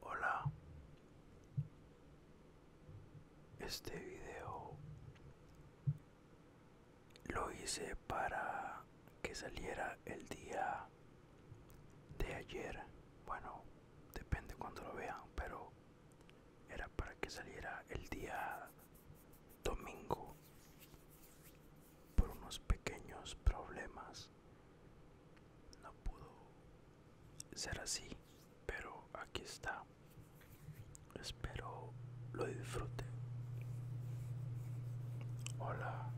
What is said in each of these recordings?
Hola, este video lo hice para que saliera el día de ayer. Bueno, depende cuando lo vean, pero era para que saliera el día domingo por unos pequeños problemas no pudo ser así, pero aquí está. Espero lo disfruten. Hola.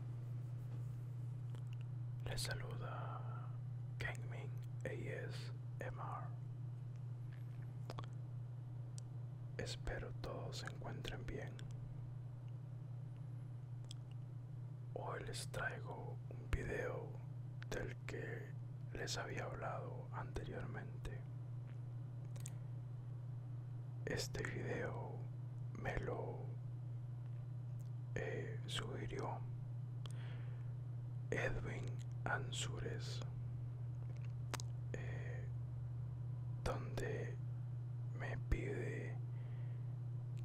Les saluda Kangmin ASMR. Espero todos se encuentren bien. Hoy les traigo un video del que les había hablado anteriormente. Este video me lo eh, sugirió Edwin Ansures. Eh, donde me pide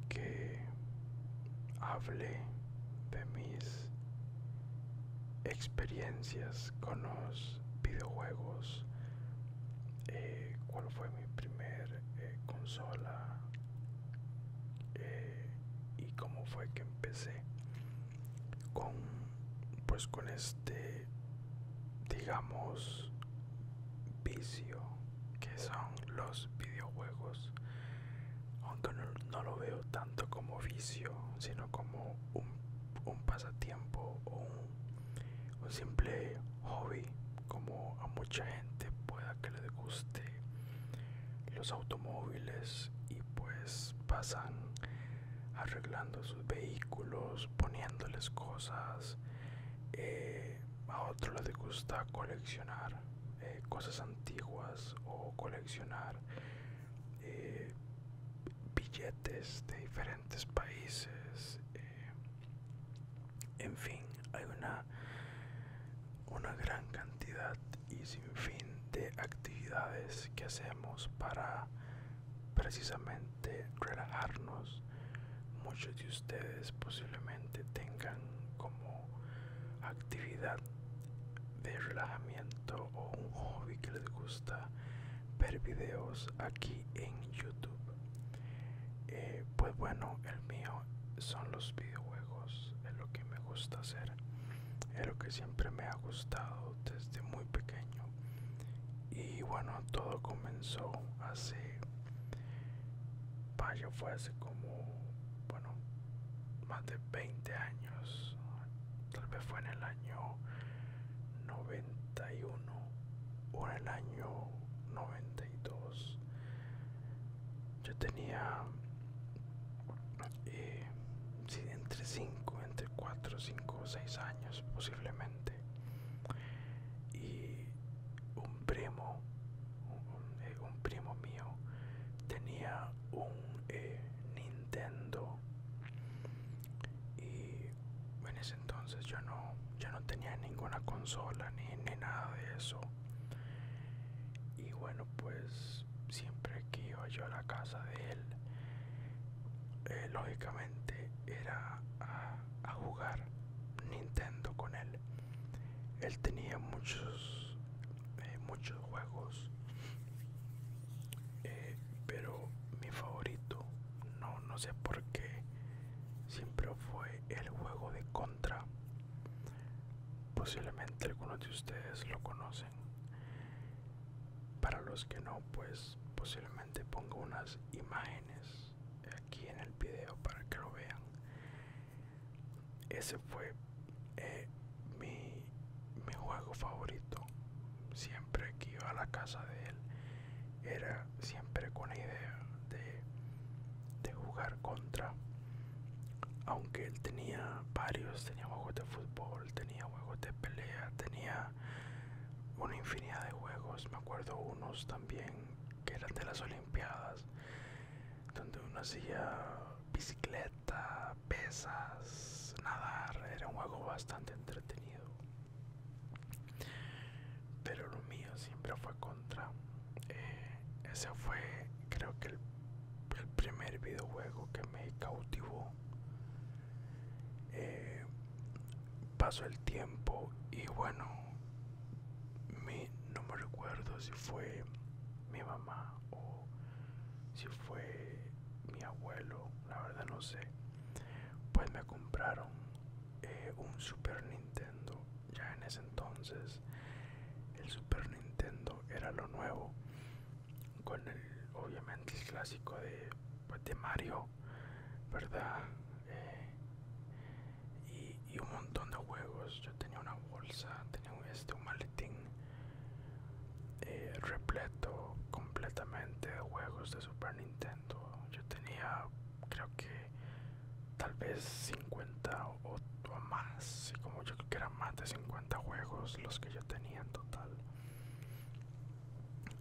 que hable de mis experiencias con los videojuegos eh, cuál fue mi primer eh, consola eh, y cómo fue que empecé con pues con este digamos vicio que son los videojuegos aunque no, no lo veo tanto como vicio sino como un, pasatiempo o un, un simple hobby como a mucha gente pueda que le guste los automóviles y pues pasan arreglando sus vehículos poniéndoles cosas eh, a otros les gusta coleccionar eh, cosas antiguas o coleccionar eh, billetes de diferentes países. en fin, hay una, una gran cantidad y sin fin de actividades que hacemos para precisamente de relajarnos muchos de ustedes posiblemente tengan como actividad de relajamiento o un hobby que les gusta ver videos aquí en youtube eh, pues bueno el mío son los videojuegos es lo que me gusta hacer es lo que siempre me ha gustado desde muy pequeño y bueno todo comenzó hace yo fue hace como bueno más de 20 años tal vez fue en el año 91 o en el año 92 yo tenía eh, entre 5, entre 4, 5 o 6 años posiblemente. Y un primo, un, eh, primo mío, tenía un eh, Nintendo. Y en ese entonces yo no, ya no tenía ninguna consola ni, ni nada de eso. Y bueno, pues siempre que iba yo a la casa de él, eh, lógicamente era a, jugar Nintendo con él. Él tenía muchos, eh, muchos juegos, eh, pero mi favorito, no, no sé por qué, siempre fue el juego de Contra. Posiblemente algunos de ustedes lo conocen para los que no pues posiblemente pongo unas imágenes aquí en el video para que lo vean ese fue eh, mi, mi juego favorito siempre que iba a la casa de él era siempre con la idea de, de jugar contra aunque él tenía varios tenía juegos de fútbol tenía juegos de pelea, tenía una infinidad de juegos. Me acuerdo unos también que eran de las Olimpiadas, donde uno hacía bicicleta, pesas, nadar. Era un juego bastante entretenido. Pero lo mío siempre fue contra. Eh, ese fue, creo que el primer videojuego que me cautivó eh, pasó el tiempo y bueno no me recuerdo si fue mi mamá o si fue mi abuelo la verdad no sé pues me compraron eh, un super nintendo ya en ese entonces el super nintendo era lo nuevo con el obviamente el clásico pues, de, Mario, ¿verdad? Eh, y, un montón de juegos. Yo tenía una bolsa, tenía este, un maletín eh, repleto completamente de juegos de Super Nintendo. Yo tenía, creo que tal vez 50 o, más más, como yo creo que era más de 50 juegos los que yo tenía en total.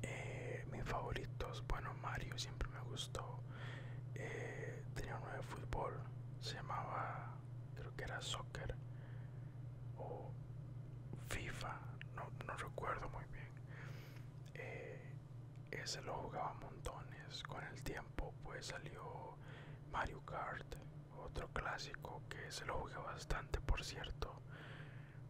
Eh, mis favoritos, bueno, Mario siempre me gustó. Eh, tenía uno de fútbol, se llamaba, creo que era soccer o FIFA, no, recuerdo muy bien. Eh, ese lo jugaba montones. Con el tiempo, pues salió Mario Kart otro clásico que se lo jugué bastante por cierto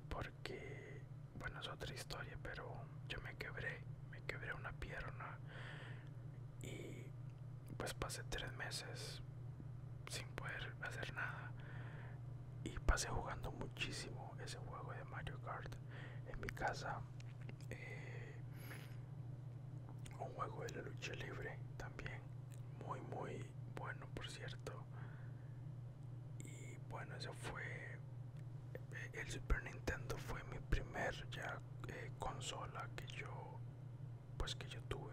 porque bueno es otra historia pero yo me quebré me quebré una pierna y pues pasé tres meses sin poder hacer nada y pasé jugando muchísimo ese juego de Mario Kart en mi casa eh, un juego de la lucha libre muy muy bueno por cierto y bueno eso fue eh, el Super Nintendo fue mi primer ya eh, consola que yo pues que yo tuve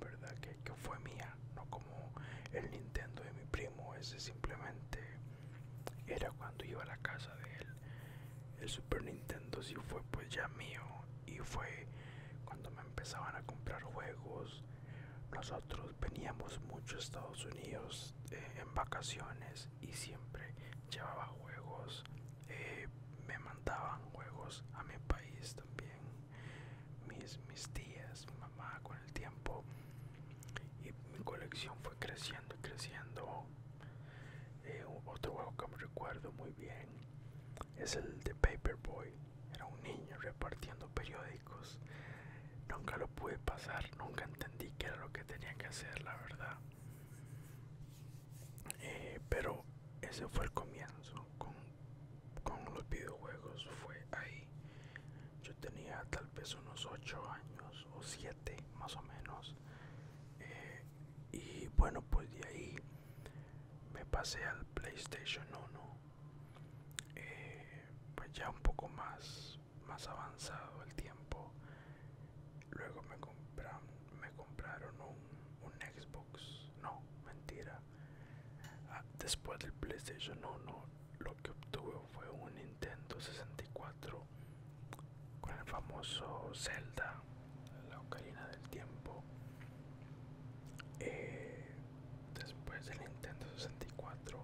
verdad que, que fue mía no como el Nintendo de mi primo ese simplemente era cuando iba a la casa de él el Super Nintendo sí fue pues ya mío y fue cuando me empezaban a comprar juegos. Nosotros veníamos mucho a Estados Unidos eh, en vacaciones y siempre llevaba juegos. Eh, me mandaban juegos a mi país también. Mis, mis tías, mamá con el tiempo. Y mi colección fue creciendo y creciendo otro juego que me recuerdo muy bien es el de Paperboy. Era un niño repartiendo periódicos. Nunca lo pude pasar, nunca entendí qué era lo que tenía que hacer, la verdad. Eh, pero ese fue el comienzo con, los videojuegos, fue ahí. Yo tenía tal vez unos 8 años o 7 más o menos. Eh, y bueno pues de ahí me pasé al PlayStation 1 eh, pues ya un poco más más avanzado el tiempo luego me compraron me compraron un, un Xbox no mentira ah, después del PlayStation 1 lo que obtuve fue un Nintendo 64 con el famoso Zelda, la Ocarina del Tiempo. Eh, después del Nintendo 64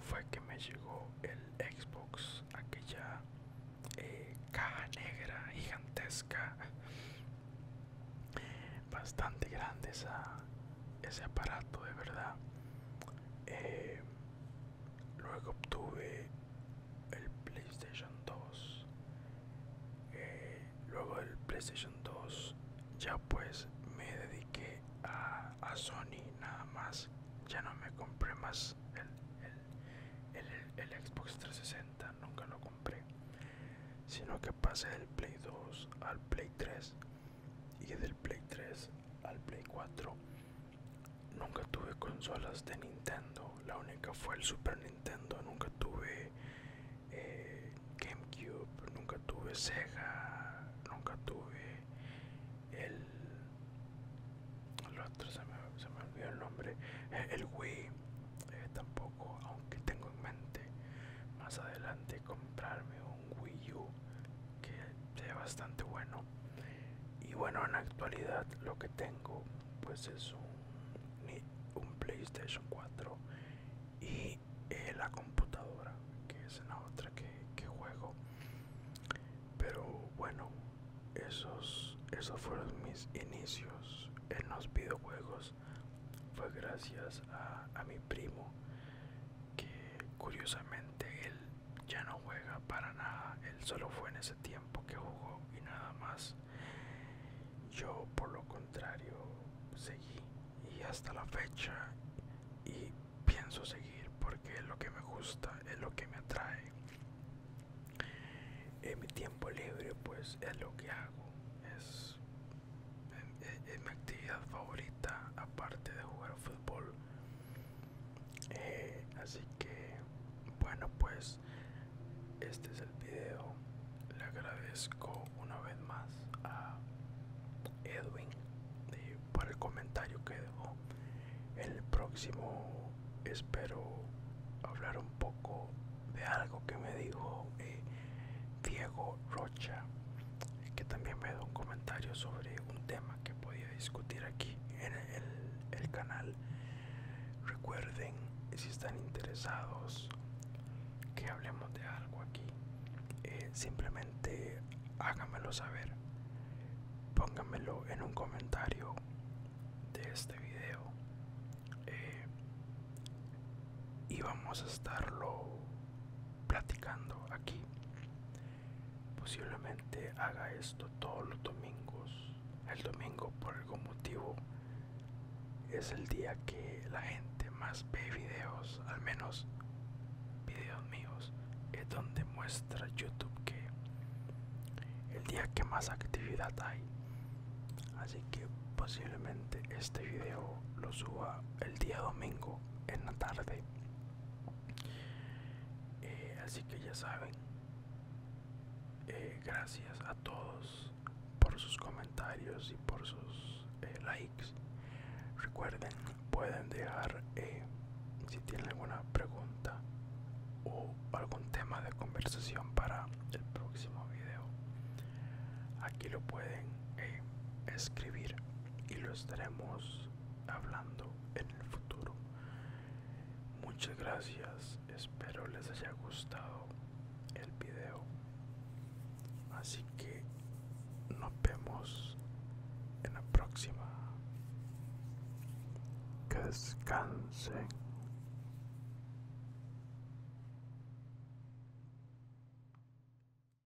fue que me llegó el Xbox, aquella eh, caja negra gigantesca, bastante grande ese aparato de verdad. Eh, Luego obtuve el PlayStation 2. Eh, luego del PlayStation 2 ya pues me dediqué a, Sony nada más. Ya no me compré más el Xbox 360, nunca lo compré. Sino que pasé del Play 2 al Play 3 y del Play 3 al Play 4 Nunca tuve consolas de Nintendo. La única fue el Super Nintendo. Nunca tuve eh, GameCube. Nunca tuve Sega. Nunca tuve el... otro se me, olvidó el nombre. Eh, el Wii. Eh, tampoco, aunque tengo en mente más adelante comprarme un Wii U que sea bastante bueno y bueno en actualidad lo que tengo pues es un, playstation 4 y eh, la computadora que es la otra que, juego pero bueno esos esos fueron mis inicios en los videojuegos fue gracias a, a mi primo que curiosamente él ya no juega para nada. Él solo fue en ese tiempo que jugó y nada más. Yo por lo contrario seguí y hasta la fecha y pienso seguir porque es lo que me gusta, es lo que me atrae. En mi tiempo libre pues es lo que hago, es, es mi actividad favorita aparte de jugar fútbol eh, así que bueno pues este es el video le agradezco una vez más a Edwin por el comentario que dejó el próximo espero hablar un poco de algo que me dijo eh, Diego Rocha que también me da un comentario sobre un tema que podía discutir aquí en el, canal recuerden si están interesados que hablemos de algo aquí eh, simplemente háganmelo saber pónganmelo en un comentario de este video eh, y vamos a estarlo platicando aquí Posiblemente haga esto todos los domingos. El domingo por algún motivo es el día que la gente más ve videos, al menos videos míos. Es donde muestra YouTube que el día que más actividad hay. Así que posiblemente este video lo suba el día domingo en la tarde eh, así que ya saben eh, gracias a todos por sus comentarios y por sus eh, likes recuerden pueden dejar si tienen alguna pregunta o algún tema de conversación para el próximo video aquí lo pueden escribir y lo estaremos hablando en el futuro. Muchas gracias, espero les haya gustado el video. Así que nos vemos en la próxima. Que descansen.